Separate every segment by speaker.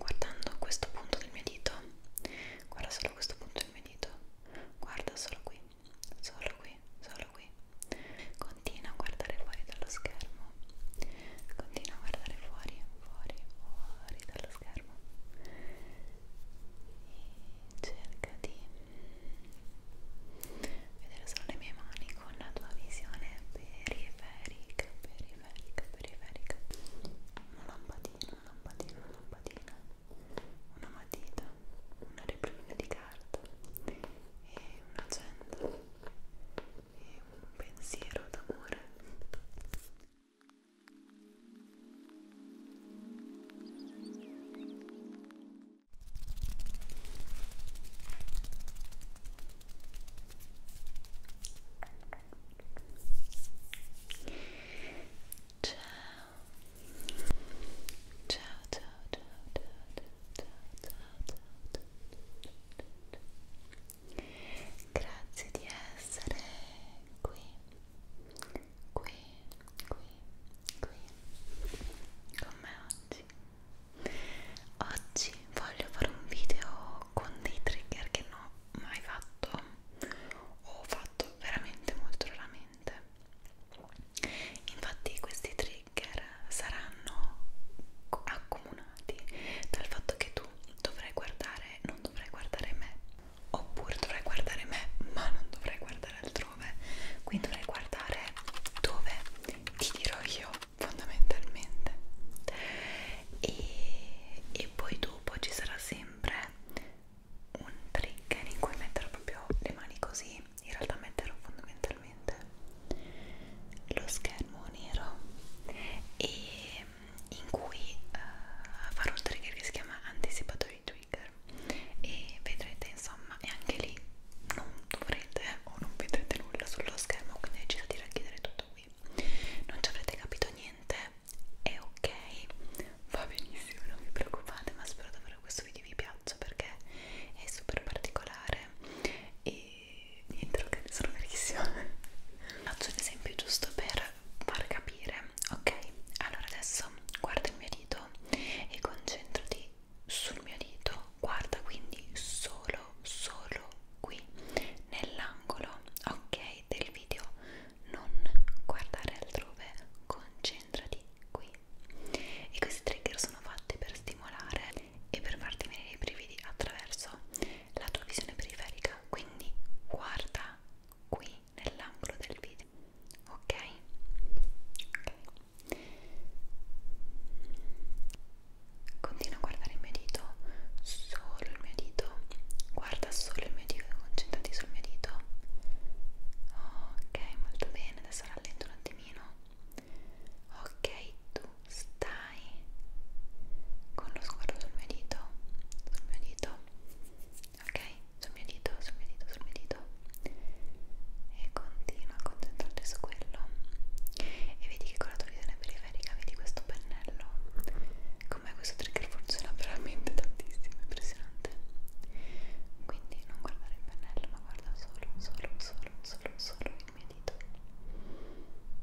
Speaker 1: guardando questo punto del mio dito guarda solo questo punto del mio dito guarda solo qui solo qui solo qui continua a guardare fuori dallo schermo continua a guardare fuori fuori fuori dallo schermo e cerca di vedere solo le mie mani con la tua visione periferica periferica periferica, periferica una lampadina, una lampadina, una lampadina una matita, una replica di carta e un'agenda e un pensiero d'amore Ciao Ciao. Ciao, ciao, ciao, ciao, ciao, ciao, ciao, ciao, ciao. Grazie di essere qui. Qui, qui, qui. Con me oggi. Oggi voglio fare un video con dei trigger che non ho mai fatto o ho fatto veramente molto raramente infatti questi trigger saranno accomunati dal fatto che tu dovrai guardare non dovrai guardare me oppure dovrai guardare me ma non dovrai guardare altrove quindi dovrai guardare dove ti dirò io fondamentalmente e, e poi dopo ci sarà sempre un trigger in cui metterò proprio le mani così in realtà metterò fondamentalmente lo schermo nero e in cui uh, farò un trigger che si chiama anticipatori trigger e vedrete insomma e anche lì non dovrete eh, o non vedrete nulla sullo schermo quindi ho deciso di racchiudere tutto lui non ci avrete capito niente è ok va benissimo non vi preoccupate ma spero davvero questo video vi piaccia perché è super particolare e niente ok sono verissima faccio un esempio giusto per far capire ok allora adesso guarda il mio dito e concentrati sul mio dito guarda quindi solo solo qui nell'angolo ok del video non guardare altrove concentrati qui e questi trigger sono fatti per stimolare e per farti venire i brividi attraverso la tua visione periferica quindi guarda qui nell'angolo del video ok ok Continua a guardare il mio dito, solo il mio dito. Guarda solo il mio dito, concentrati sul mio dito. Ok, molto bene, adesso rallento un attimino. Ok, tu stai con lo sguardo sul mio dito, sul mio dito. Ok, sul mio dito, sul mio dito, sul mio dito. E continua a concentrarti su quello. E vedi che con la tua visione periferica scrivere i cavi di questo pennello come questo trigger funziona veramente tantissimo, impressionante quindi non guardare il pennello ma guarda solo, solo, solo, solo, solo il mio dito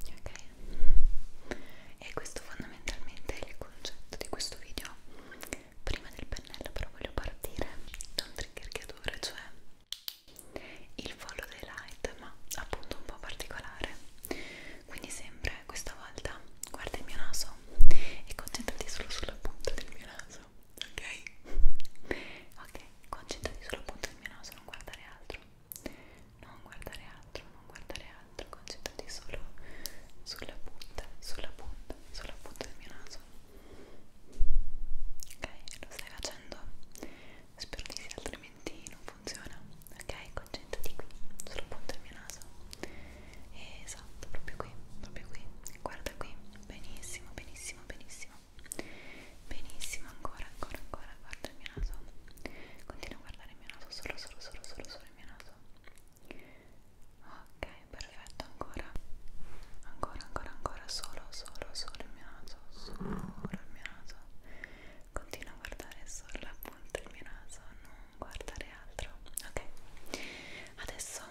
Speaker 1: ok? e questo fondamentalmente è il concetto di questo video prima del pennello però voglio partire da un trigger che adoro cioè il follow dei light ma appunto un po' particolare quindi sempre questa volta guarda il mio naso e concentrati solo sulla punta del mio naso ok? ok concentrati sulla punta del mio naso non guardare altro non guardare altro non guardare altro concentrati solo sulla punta sulla punta sulla punta del mio naso ok lo stai facendo spero ti sia altrimenti altrimenti non funziona ok concentrati qui sul punto del mio naso esatto proprio qui proprio qui guarda qui benissimo benissimo benissimo benissimo ancora ancora ancora guarda il mio naso continua a guardare il mio naso solo solo solo solo solo il mio naso ok perfetto ancora ancora ancora ancora solo solo solo il mio naso solo il mio naso Continua a guardare solo la punta del mio naso, non guardare altro. Ok, adesso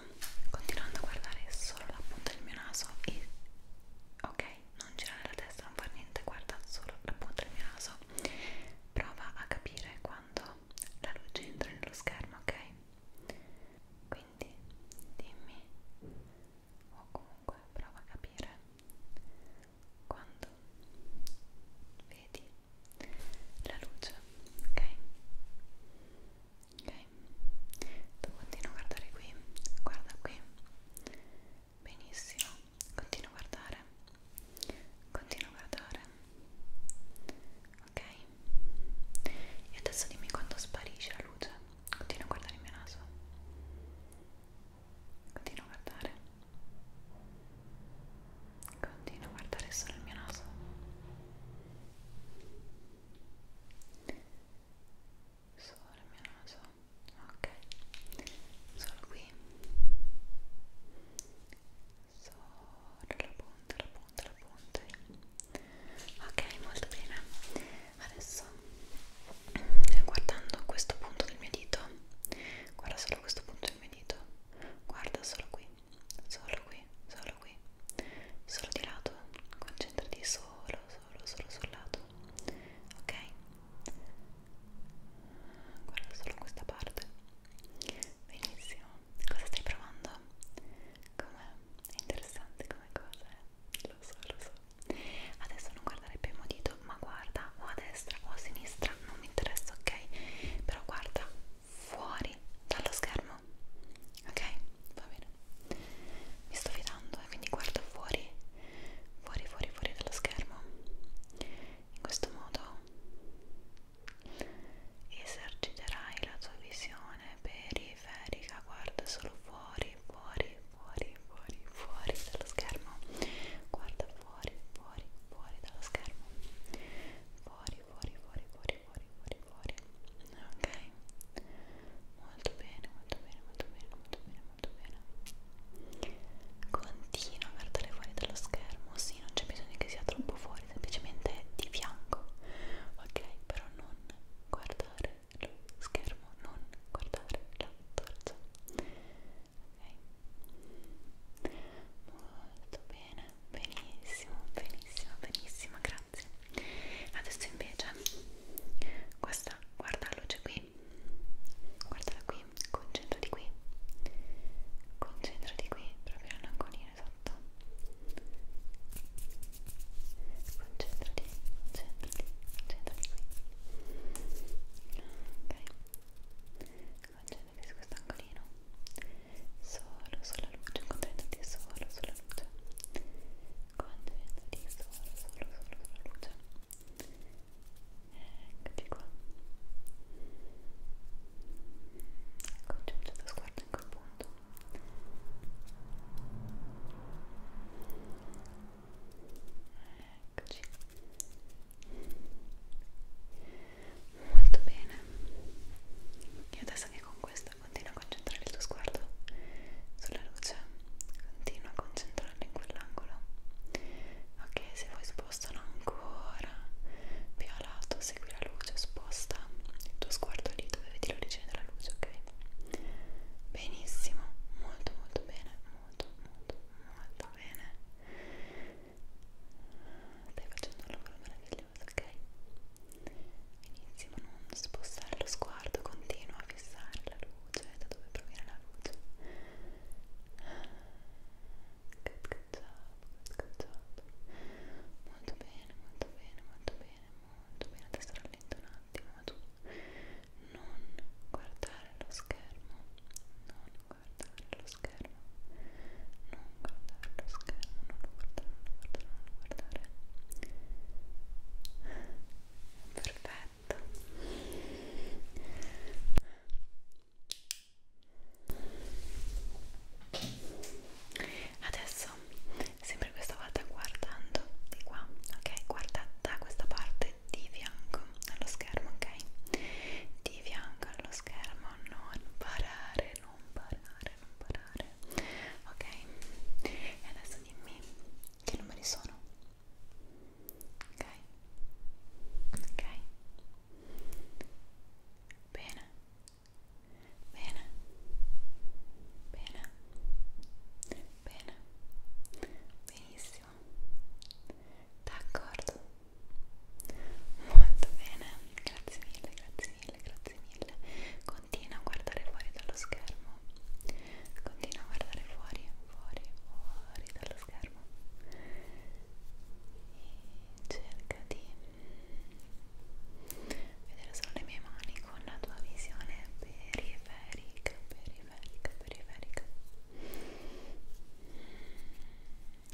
Speaker 1: continuando a guardare solo la punta del mio naso e ok, non girare la testa, non fare niente, guarda solo la punta del mio naso. Prova a capire quando la luce entra nello schermo, ok? Quindi dimmi o comunque prova a capire quando vedi la luce, ok? Ok, tu continua a guardare qui, guarda qui, benissimo, continua a guardare, continua a guardare, ok? E adesso dimmi quando sparisce la luce, continua a guardare il mio naso. Continua a guardare. Continua a guardare solo il mio naso. Solo il mio naso. Ok. Solo qui. Solo la punta, la punta, la punta. Ok, molto bene adesso eh, guardando questo punto del mio dito guarda solo questo punto del mio dito guarda solo qui solo qui solo qui solo di lato concentrati solo solo solo sul lato ok guarda solo questa parte benissimo cosa stai provando com'è è interessante come cosa eh? lo so lo so adesso non guardare più il mio dito ma guarda o a destra o a sinistra non mi interessa ok però guarda fuori dallo schermo ok va bene mi sto fidando e eh, quindi guardo fuori fuori fuori fuori dallo schermo in questo modo eserciterai la tua visione periferica guarda solo fuori fuori, fuori, fuori, fuori, fuori dallo schermo. Guarda fuori, fuori, fuori dallo schermo. Fuori, fuori, fuori, fuori, fuori, fuori, fuori. Ok. Molto bene, molto bene, molto bene, molto bene, molto bene. Continua a guardare fuori dallo schermo. Sì, non c'è bisogno che sia troppo fuori, semplicemente di fianco. Ok, però non guardare lo schermo, non guardare la torcia. Ok, molto bene, benissimo, benissimo, benissimo, grazie. Adesso invece, questa, guarda la luce qui, guardala qui, concentrati qui, concentrati qui, proprio l'angolino esatto. Concentrati centrati, centrati qui ok concentrati su questo angolino solo sulla luce concentrati solo sulla luce concentrati solo solo solo sulla luce eccoci qua concentra ecco, lo sguardo in quel punto Eccoci. Molto bene. E adesso che con questo continua a concentrare il tuo sguardo sulla luce, continua a concentrarlo in quell'angolo. Ok, se vuoi spostano ancora più a lato, segui la luce, sposta il tuo sguardo lì dove vedi l'origine della luce, ok? Benissimo, molto molto bene bene, molto, molto, molto bene. Stai facendo un lavoro meraviglioso, ok? Benissimo, non spostare lo sguardo, continua a fissare la luce da dove proviene la luce. Good, good job, good, good job. Molto bene, molto bene, molto bene, molto bene. Adesso rallento un attimo, ma tu non guardare lo schermo, non guardare lo schermo, non guardare lo schermo, non guardare, non guardare, non guardare. Perfetto. Adesso sempre questo stavate guardando di qua, ok? Guarda da questa parte di fianco allo schermo, ok? Di fianco allo schermo, non parare, non parare, non parare, ok? E adesso dimmi che numeri sono, ok? Ok? Bene, bene, bene, Bene, benissimo, d'accordo, molto bene, grazie mille, grazie mille, grazie mille. Continua a guardare fuori dallo schermo, continua a guardare fuori, fuori, fuori dallo schermo e cerca di vedere solo le mie mani con la tua visione periferica, periferica periferica, periferica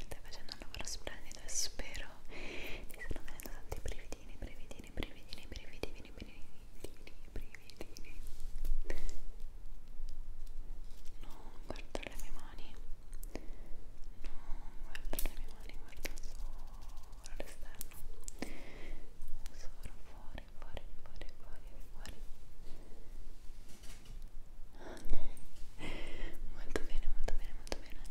Speaker 1: stai facendo un lavoro splendido e spero ti stanno venendo tanti brividini, brividini, brividini, brividini, brividini, brividini non guardo le mie mani non guardo le mie mani, guardo solo l'esterno solo fuori fuori, fuori, fuori, fuori. Ok, molto bene, molto bene, molto bene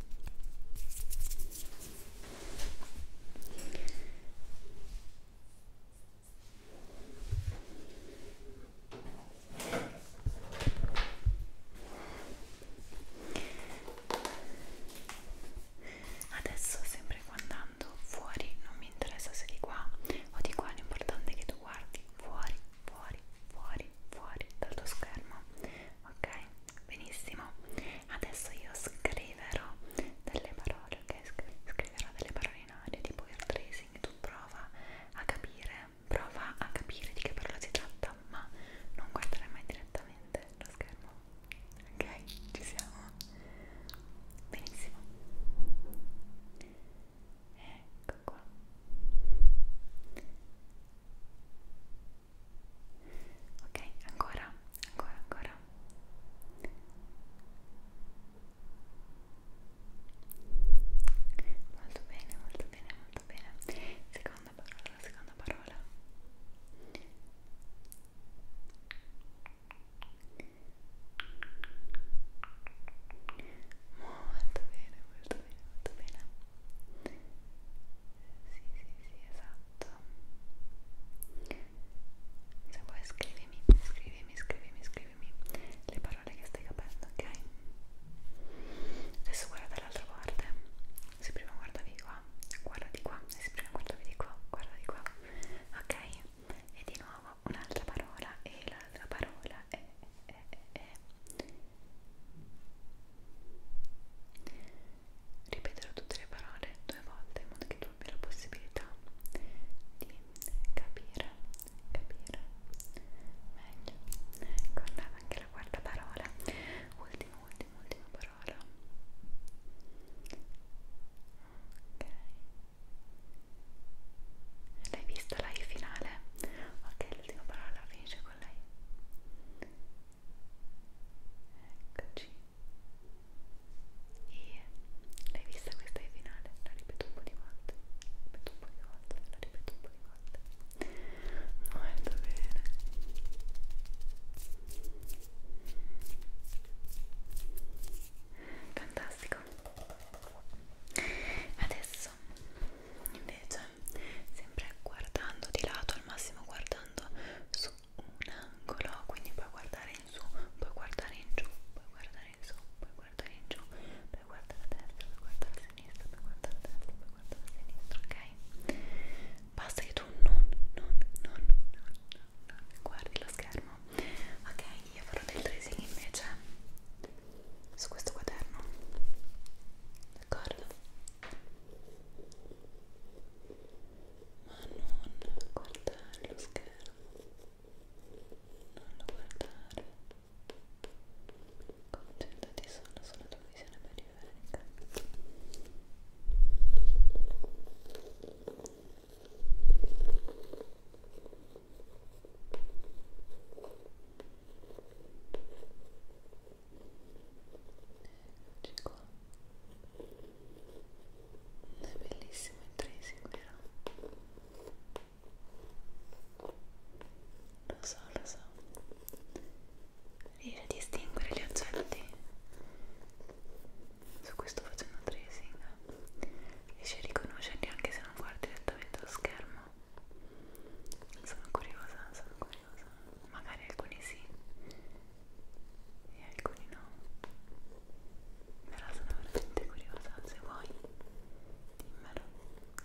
Speaker 1: adesso sempre quando andando fuori non mi interessa se di qua o di qua l'importante è che tu guardi fuori fuori fuori fuori dal tuo schermo ok benissimo adesso io scriverò delle parole ok scriverò delle parole in aria tipo il tracing tu prova a capire prova a capire di che parola si tratta ma non guardare mai direttamente lo schermo ok ci siamo benissimo ecco qua ok ancora ancora ancora molto bene molto bene molto bene seconda parola seconda parola Molto bene, molto bene, molto bene. Sì, sì, sì, esatto. Se vuoi scrivimi, scrivimi, scrivimi, scrivimi le parole che stai capendo, ok? Adesso guarda dall'altra parte. Se prima guardavi qua, guarda di qua. E se prima guardavi di qua, guarda di qua ok? E di nuovo un'altra parola e l'altra parola è, è, è, è. Ripeterò tutte le parole due volte in modo che tu abbia la possibilità di capire, capire meglio. Ecco, andava anche la quarta parola. Ultima, ultima, ultima parola cara ok l'hai vista la I finale? ok l'ultima parola finisce con lei eccoci e l'hai vista questa I finale? la ripeto un po' di volte la ripeto un po' di volte la ripeto un po' di volte molto bene fantastico adesso invece sempre guardando di lato al massimo guardando su un angolo quindi puoi guardare in su puoi guardare in giù puoi guardare in su puoi guardare in giù puoi guardare a destra puoi guardare a sinistra puoi guardare a destra puoi guardare a sinistra ok basta che tu non non non non non guardi lo schermo ok io farò del tracing invece su questo quaderno d'accordo ma non guardare lo schermo non lo guardare concentrati solo sulla tua visione periferica Eccoci qua. È bellissimo intrinseco, vero? Lo so, lo so. Riesci a distinguere gli oggetti su cui sto facendo tracing riesci a riconoscerli anche se non guardi direttamente lo schermo sono curiosa, sono curiosa magari alcuni sì e alcuni no però sono veramente curiosa se vuoi dimmelo ok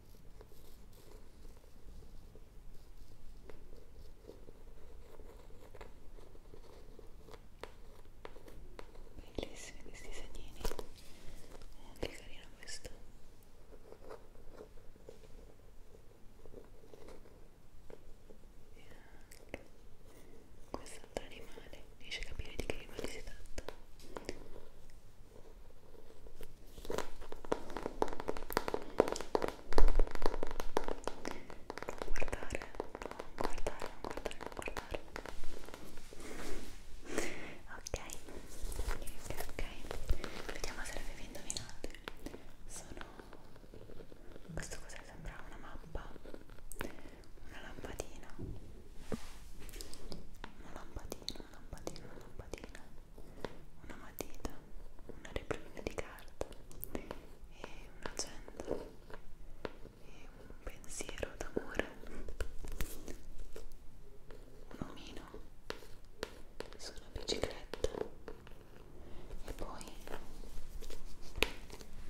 Speaker 1: Bellissimi questi segnini. Oh, che carino questo. E anche quest'altro animale riesce a capire di che animale si tratta non guardare, non guardare, non guardare, non guardare ok, ok, ok vediamo se l'avevi indovinate sono... questo cos'è? sembra una mappa una lampadina una lampadina, una lampadina, una lampadina una matita, una replica di carta e un'agenda e un pensiero d'amore un omino su una bicicletta e poi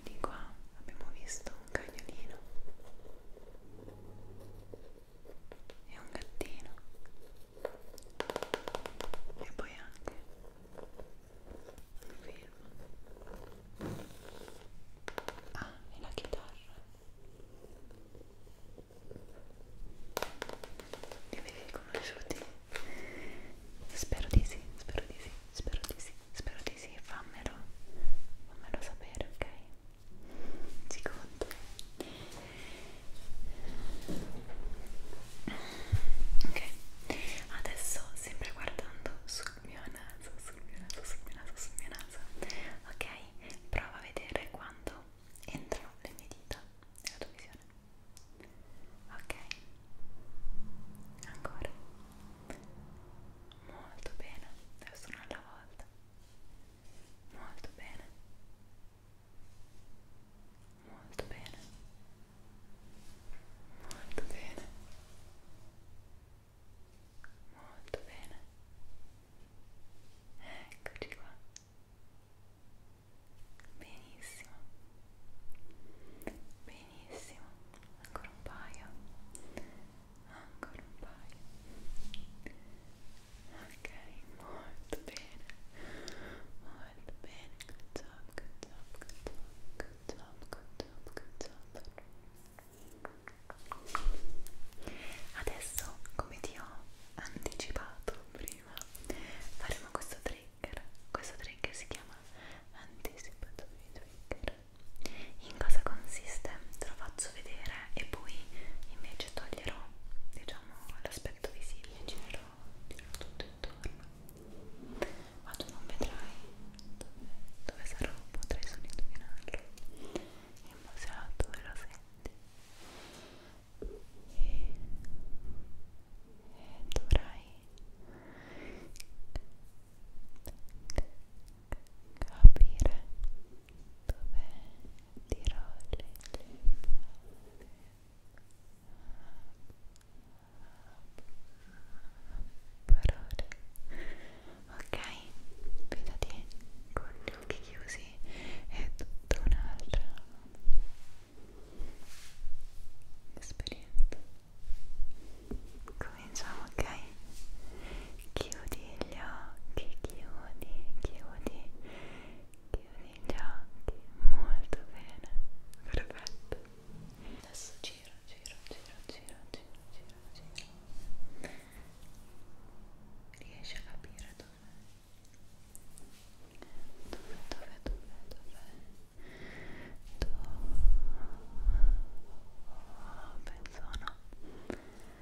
Speaker 1: di qua abbiamo visto un cagnolino e un gattino e poi anche un film ah e la chitarra li avete riconosciuti? spero di sì spero di sì spero di sì spero di sì fammelo fammelo sapere ok secondo ok adesso sempre guardando sul mio naso sul mio naso sul mio naso sul mio naso ok prova a vedere quando entrano le mie dita nella tua visione ok ancora molto bene adesso una alla volta molto bene Molto bene. Molto bene. Molto bene. Eccoci qua. Benissimo. Benissimo. Ancora un paio. Ancora un paio. Ok, molto bene, molto bene, good job, good job, good job, good job, good job, good job. Adesso, come ti ho anticipato prima, faremo questo trigger. Questo trigger si chiama Anticipatory Trigger. In cosa consiste? Te lo faccio vedere e poi in me invece toglierò diciamo l'aspetto visibile girerò, girerò tutto intorno ma tu non vedrai dove, dove sarò potrai solo indovinarlo il museo dove lo senti e, e dovrai capire dove tirò le palle parole ok vedete con gli occhi chiusi è tutta un'altra esperienza cominciamo ok chiudi gli occhi, chiudi, chiudi, chiudi gli occhi, molto bene, perfetto. Adesso giro, giro, giro, giro, giro, giro, giro. Riesci a capire dove? Dove, dove, dove, dove? Dove? Penso no.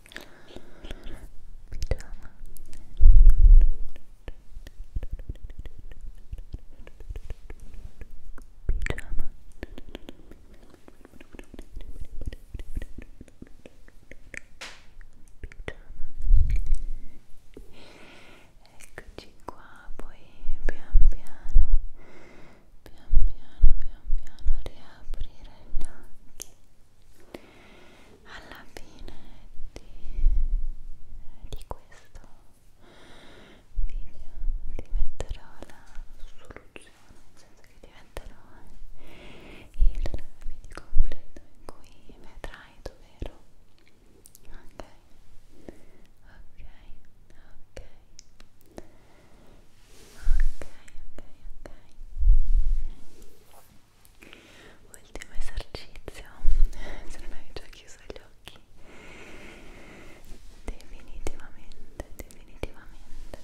Speaker 1: pigiama pigiama Eccoci qua, poi pian piano pian piano pian piano riaprire gli occhi alla fine di, di questo video ti metterò la soluzione nel senso che ti metterò il video completo in cui vedrai dov'ero ok ok ok ok. Ultimo esercizio, se non hai già chiuso gli occhi, definitivamente, definitivamente.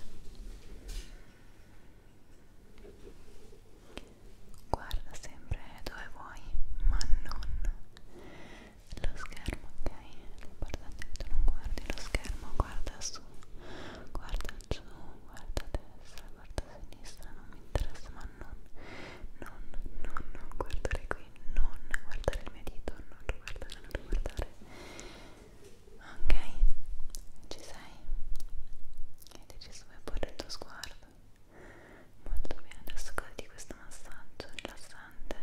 Speaker 1: Guarda sempre dove vuoi, ma non lo schermo, ok? L'importante è che tu non guardi lo schermo, guarda su, guarda giù, guarda a destra, guarda a sinistra, non mi interessa, ma non, non, non, non guardare qui, non guardare il mio dito, non guardare, non guardare. Ok, ci sei? Hai deciso di porre il tuo sguardo? Molto bene, adesso goditi questo massaggio rilassante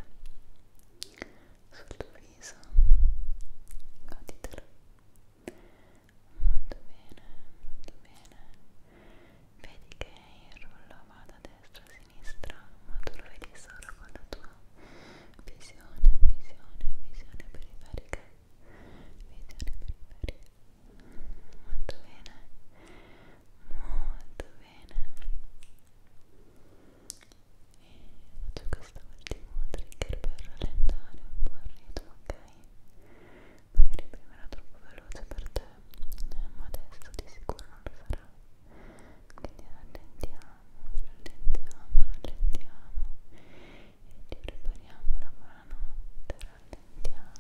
Speaker 1: sul tuo viso sorriso goditelo molto bene molto bene vedi che il rullo va da destra a sinistra ma tu lo vedi solo con la tua visione visione visione periferica visione periferica molto bene molto bene faccio quest'ultimo trigger per rallentare un po' il ritmo, ok? Magari prima era troppo veloce per te, eh, ma adesso di sicuro non lo sarà. Quindi rallentiamo, rallentiamo, rallentiamo e ci prepariamo alla buonanotte, rallentiamo,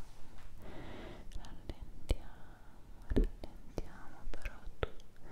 Speaker 1: rallentiamo, rallentiamo, però tu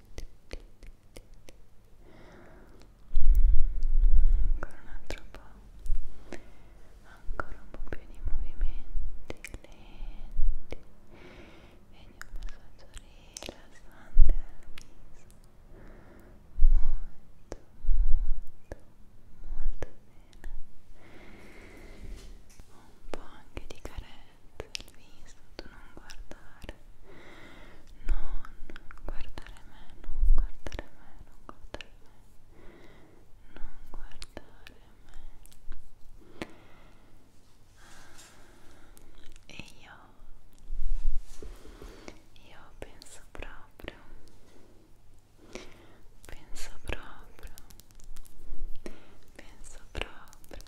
Speaker 1: ancora un altro po' ancora un po' più di movimenti lenti e di un massaggio rilassante al viso molto molto molto bene un po' anche di carezza al viso, tu non guardare, non guardare me, non guardare me, non guardare me, non guardare me. E io, io penso proprio, penso proprio, penso proprio proprio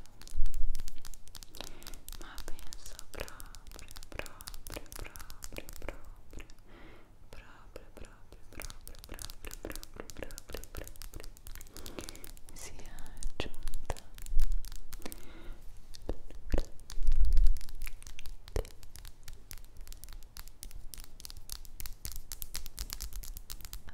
Speaker 1: ma penso proprio proprio proprio proprio proprio proprio proprio proprio proprio proprio proprio sia giunta a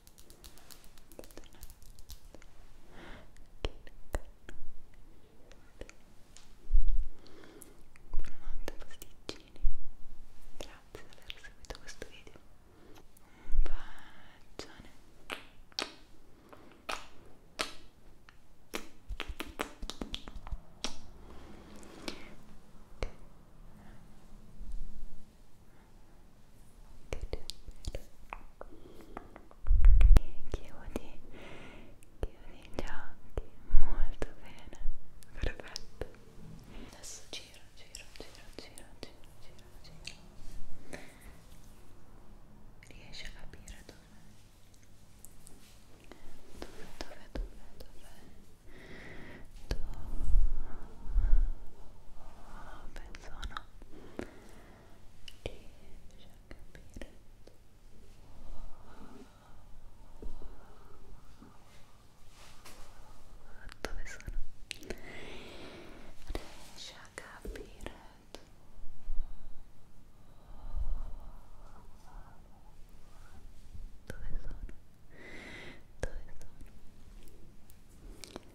Speaker 1: grazie per aver seguito questo video un bacione chiudi chiudi gli occhi molto bene perfetto adesso giro giro giro giro giro giro giro riesci a capire dove dove dove dove dove dove penso no riesci a capire dove sono riesci a capire dove sono dove sono